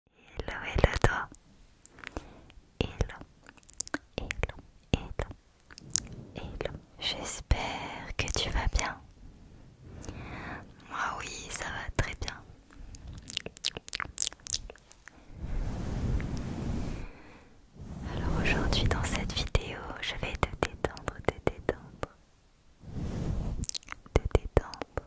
Hello, hello toi. Hello, hello, hello, hello. J'espère que tu vas bien. Moi oui, ça va très bien. Alors aujourd'hui dans cette vidéo, je vais te détendre, te détendre, te détendre,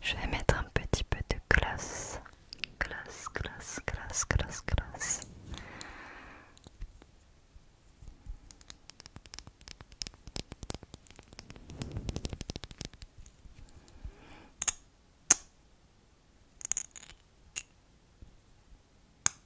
Je vais mettre un petit peu de glace. Glace, glace, glace, glace, glace.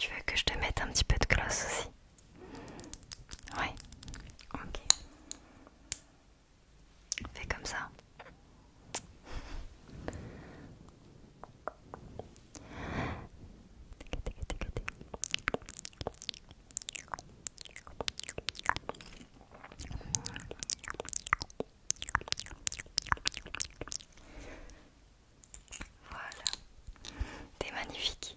Tu veux que je te mette un petit peu de gloss aussi Ouais. Ok. Fais comme ça. Voilà, t'es magnifique.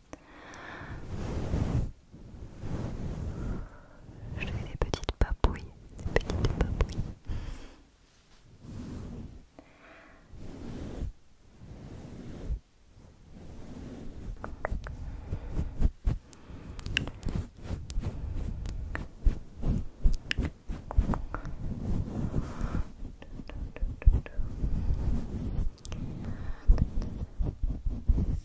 Je fais des petites papouilles, des petites papouilles.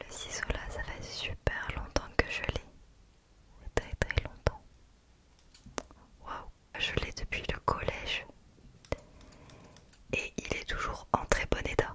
Le ciseau là, ça fait super longtemps que je l'ai. Très très longtemps. Waouh, je l'ai depuis le collège et il est toujours en très bon état.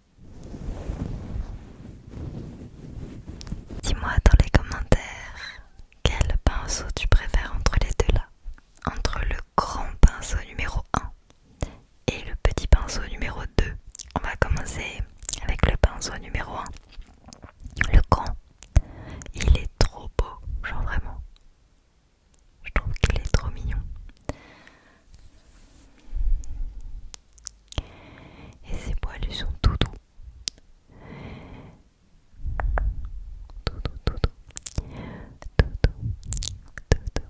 Dis-moi dans les commentaires quel pinceau tu préfères entre les deux là, entre le grand pinceau numéro 1 et le petit pinceau numéro 2. On va commencer avec le pinceau numéro 1. Le grand, il est trop beau, genre vraiment. Je trouve qu'il est trop mignon. Et ses poils lui sont tout doux. Tout doux, tout doux. Tout doux, tout doux. Tout doux. Tout doux,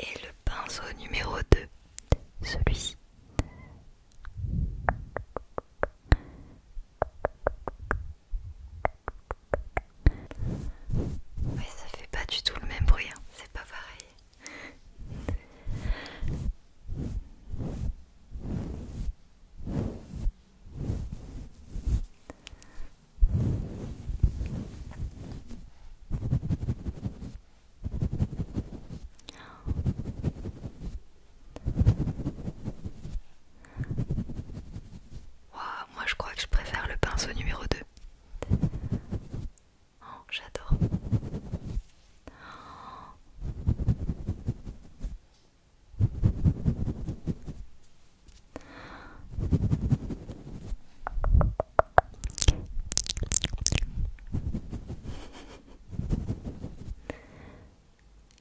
Et le pinceau numéro 2, celui-ci. Oui ça fait pas du tout le même bruit, hein. c'est pas pareil. Wow, moi je crois que je préfère le pinceau numéro 2. j'adore.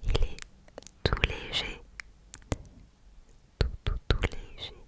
Il est tout léger, tout tout tout léger.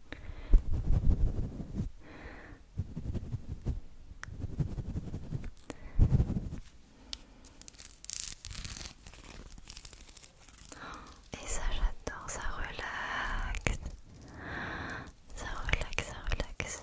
Et ça j'adore, ça relaxe. Ça relaxe, ça relaxe.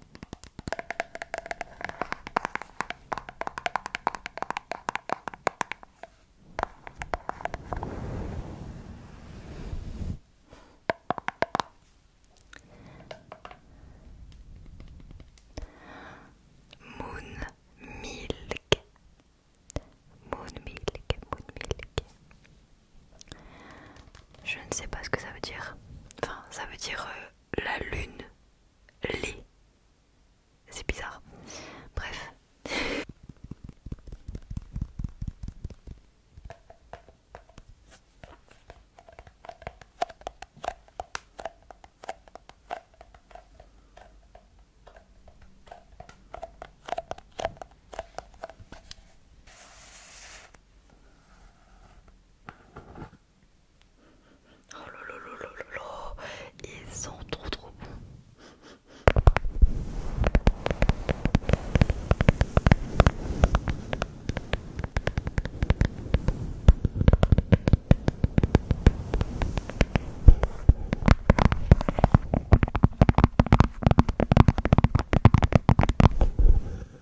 Moon milk, moon milk, moon milk. Je ne sais pas ce que ça veut dire. Enfin, ça veut dire euh, la lune les. C'est bizarre. Bref. Oh là ils sont trop trop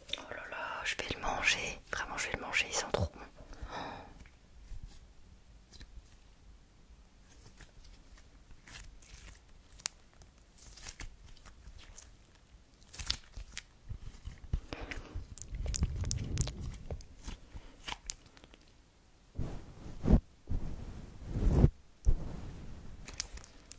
Oh là là, je vais le manger. Vraiment, je vais le manger. sans sont trop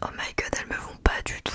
Oh my god, elles me vont pas du tout.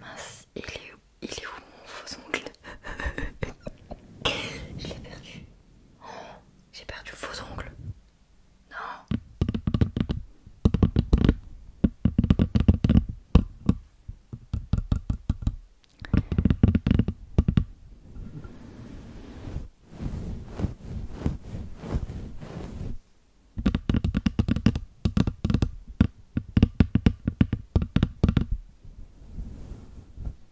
Mince, il est où, il est où mon faux ongle Je l'ai perdu j'ai perdu faux ongles. Non.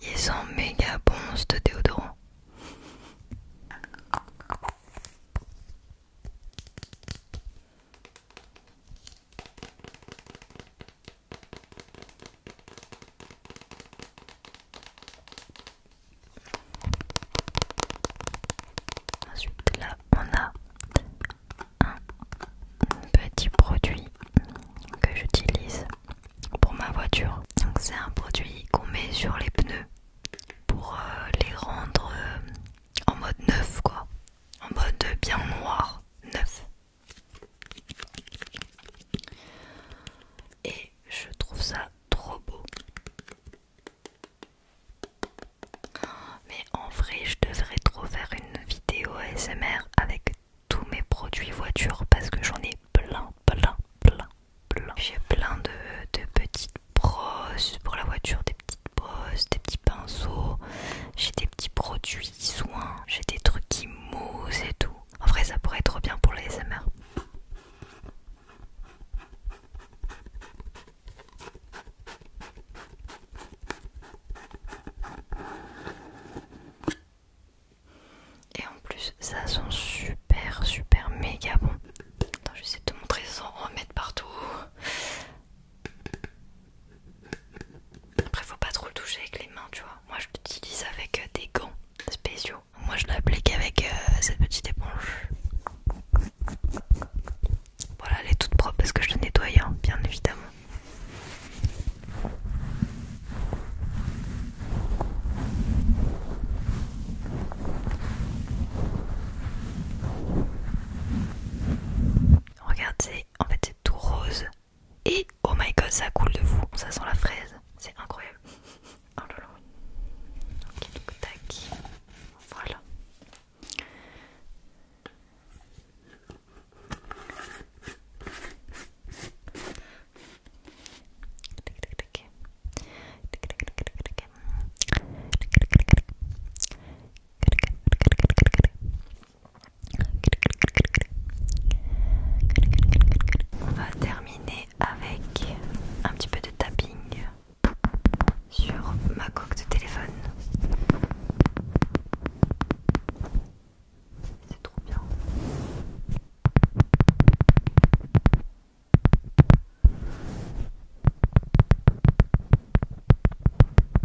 Ils sont méga bons ce déodorant. Ensuite là on a un petit produit que j'utilise pour ma voiture. Donc c'est un produit qu'on met sur les pneus pour euh, les rendre euh, en mode neuf quoi. En mode bien noir, neuf. Et je trouve ça trop beau. Mais en vrai, je devrais trop faire une vidéo ASMR avec tous mes produits voiture parce que j'en ai plein, plein, plein, plein. J'ai plein de, petites brosses pour la voiture, des petites brosses, des petits pinceaux, j'ai des petits produits soins, j'ai des trucs qui moussent et tout. En vrai, ça pourrait être trop bien pour les SMR. Et en plus, ça sent super, super méga bon. Attends, je vais essayer de te montrer sans remettre partout. Après, faut pas trop le toucher avec les mains, tu vois. Moi, je l'utilise avec euh, des gants spéciaux. Moi, je l'applique avec euh, cette petite éponge. Voilà, elle est toute propre parce que je la nettoie, hein, bien évidemment. Regardez, en fait c'est tout rose. Et oh my god, ça coule de vous, ça sent la fraise, c'est incroyable. Oh tac. Voilà. On va terminer avec un petit peu de tapping sur ma coque de téléphone. C'est trop bien.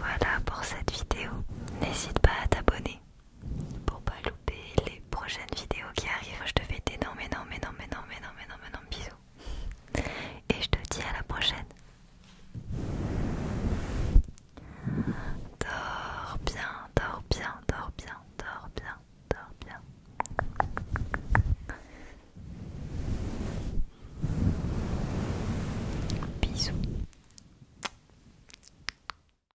Voilà pour cette vidéo. N'hésite pas à t'abonner pour pas louper les prochaines vidéos qui arrivent. Je te fais non non mais mais non mais non mais non mais non bisous. Et je te dis à la prochaine. Dors bien, dors bien, dors bien, dors bien, dors bien. Bisous.